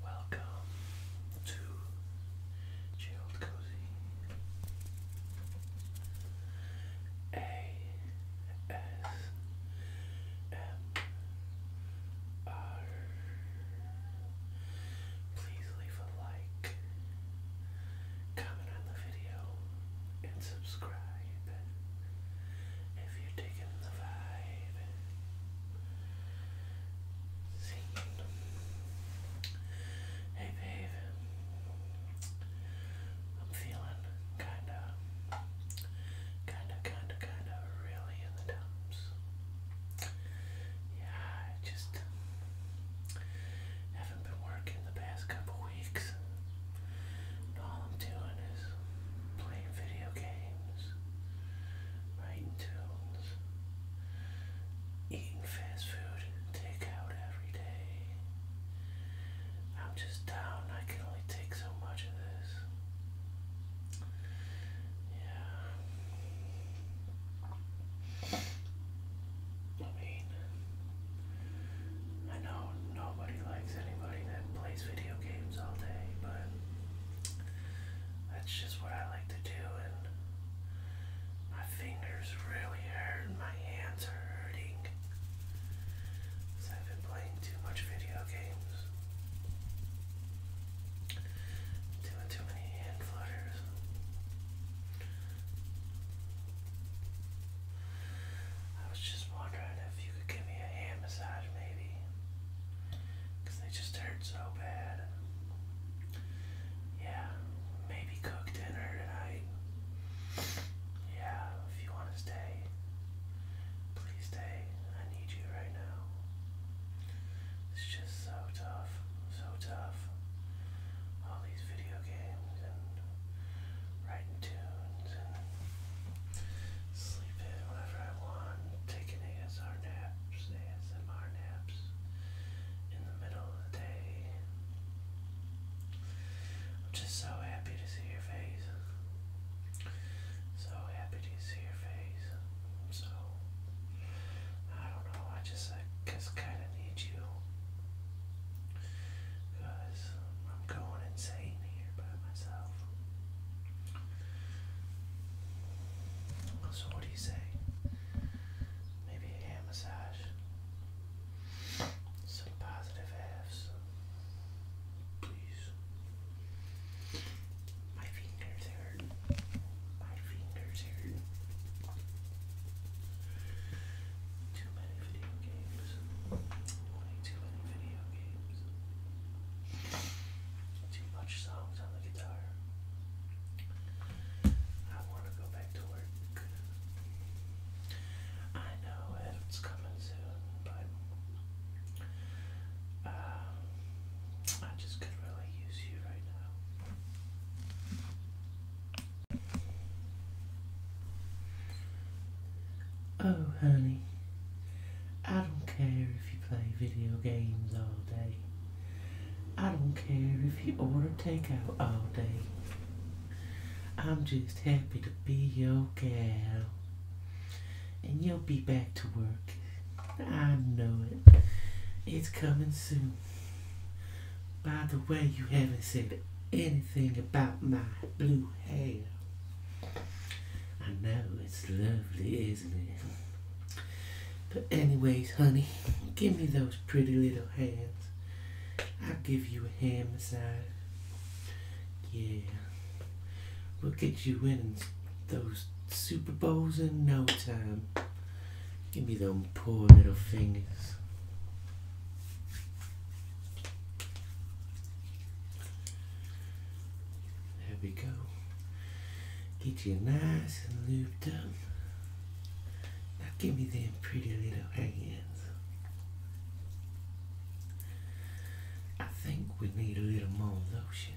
Welcome to Chilled Cozy A S M R. Please leave a like, comment on the video, and subscribe if you're taking the vibe Hey babe, I'm feeling kinda, kinda, kinda, kinda really in the dumps. Yeah, I just haven't been working the past couple weeks all I'm doing is playing video games, writing tunes, eating fast food and takeout every day. I'm just down, I can only take so much of this. Yeah. I mean, I know nobody likes anybody that plays video games all day, but that's just what I like to do, and my fingers really hurt, my hands are hurting because I've been playing too much video games. Doing too many hand flutters. I was just wondering if you could give me a hand massage, maybe. Because they just hurt so bad. Yeah, maybe cook dinner tonight. Yeah, if you want to stay, please stay. I need you right now. It's just so tough, so tough. All these video games and writing tunes sleeping whenever I want, taking ASR naps, ASMR naps in the middle of the day. I'm just so happy to see your face. So happy to see your face. So, I don't know, I just, I guess, kind of need you. Because I'm going insane here by myself. So, what do you say? Maybe a massage, some positive halves, please. My fingers hurt. My fingers hurt too many video games. Way too many video games. Too much songs on the guitar. I want to go back to work. I know it's coming soon, but um, I just could really use you right now. Oh, honey, I don't care if you play video games all day. I don't care if you order takeout all day. I'm just happy to be your girl, And you'll be back to work. I know it. It's coming soon. By the way, you haven't said anything about my blue hair. I know, it's lovely, isn't it? But anyways, honey, give me those pretty little hands. I'll give you a hand massage. Yeah. We'll get you winning those Super Bowls in no time. Give me them poor little fingers. There we go. Get you nice and lubed up. Now give me them pretty little hands. I think we need a little more lotion.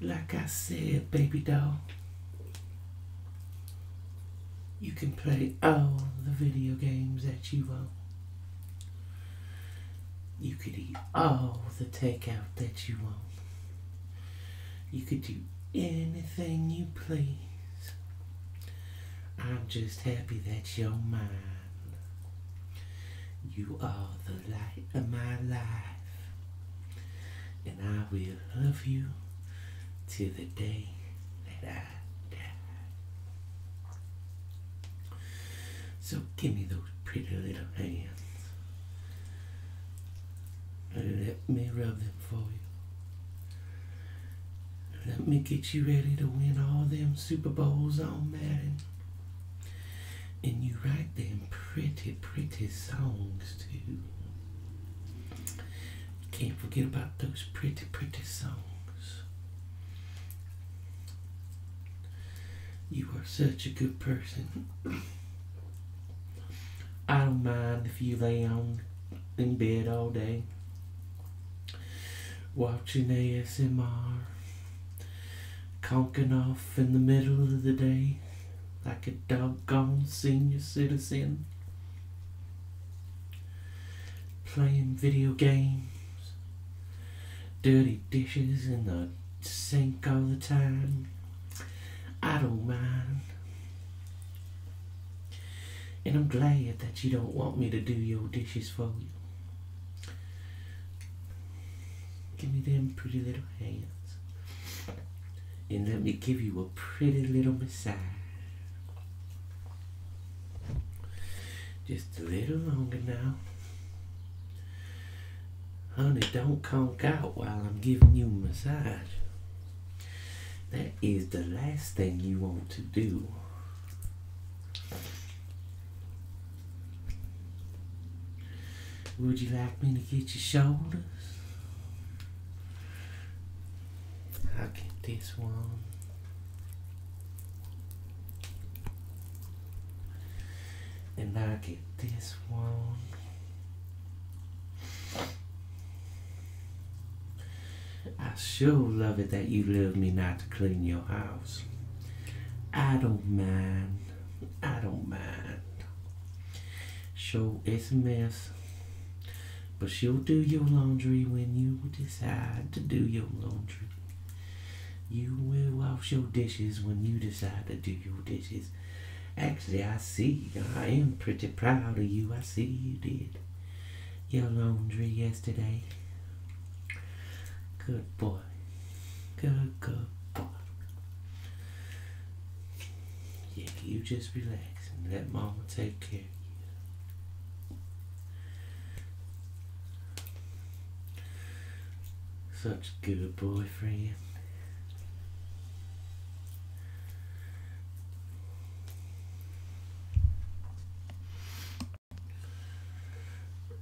Like I said, baby doll, you can play all the video games that you want. You could eat all the takeout that you want. You could do anything you please. I'm just happy that you're mine. You are the light of my life, and I will love you till the day that I die. So give me those pretty little hands. and Let me rub them for you. Let me get you ready to win all them Super Bowls on Madden. And you write them pretty, pretty songs too. Can't forget about those pretty, pretty songs. You are such a good person. I don't mind if you lay on in bed all day watching ASMR, conking off in the middle of the day like a doggone senior citizen, playing video games, dirty dishes in the sink all the time. I don't mind. And I'm glad that you don't want me to do your dishes for you. Give me them pretty little hands. And let me give you a pretty little massage. Just a little longer now. Honey, don't conk out while I'm giving you massage. That is the last thing you want to do. Would you like me to get your shoulders? I'll get this one. And I'll get this one. I sure love it that you love me not to clean your house. I don't mind. I don't mind. Sure, it's a mess. But you will do your laundry when you decide to do your laundry. You will wash your dishes when you decide to do your dishes. Actually, I see. I am pretty proud of you. I see you did your laundry yesterday? Good boy. Good, good boy. Yeah, you just relax and let mama take care of you. Such a good friend.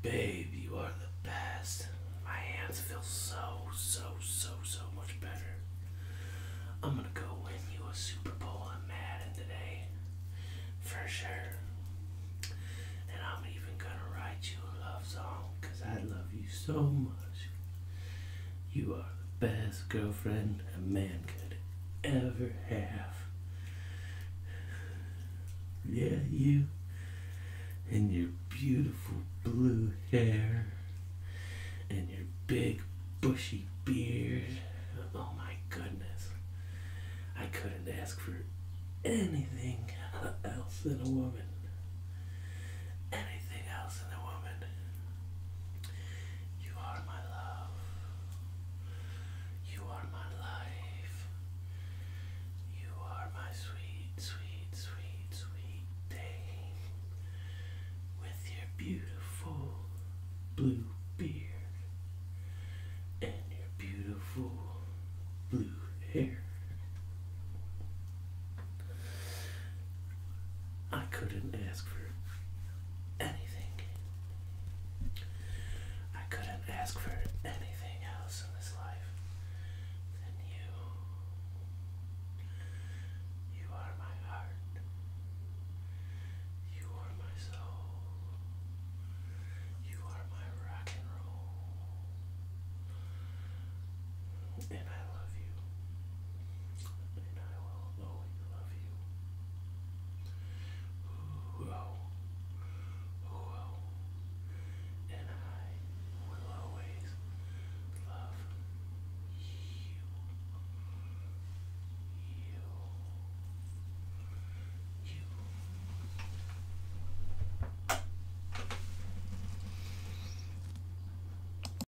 Babe, you are the best. My hands feel so, so, so, so much better. I'm gonna go win you a Super Bowl in Madden today. For sure. And I'm even gonna write you a love song because I love you so much. You are the best girlfriend a man could ever have. Yeah, you and your beautiful blue hair and your big bushy beard. Oh my goodness. I couldn't ask for anything else than a woman. Anything else than a woman. You are my love. You are my life. You are my sweet, sweet, sweet, sweet day. With your beautiful blue beard and your beautiful blue hair. I couldn't ask for anything. I couldn't ask for anything else in this life than you. You are my heart. You are my soul. You are my rock and roll. And I love you. And I will knowing I love you. Ooh, oh, oh, oh. And I will always love you. You. You.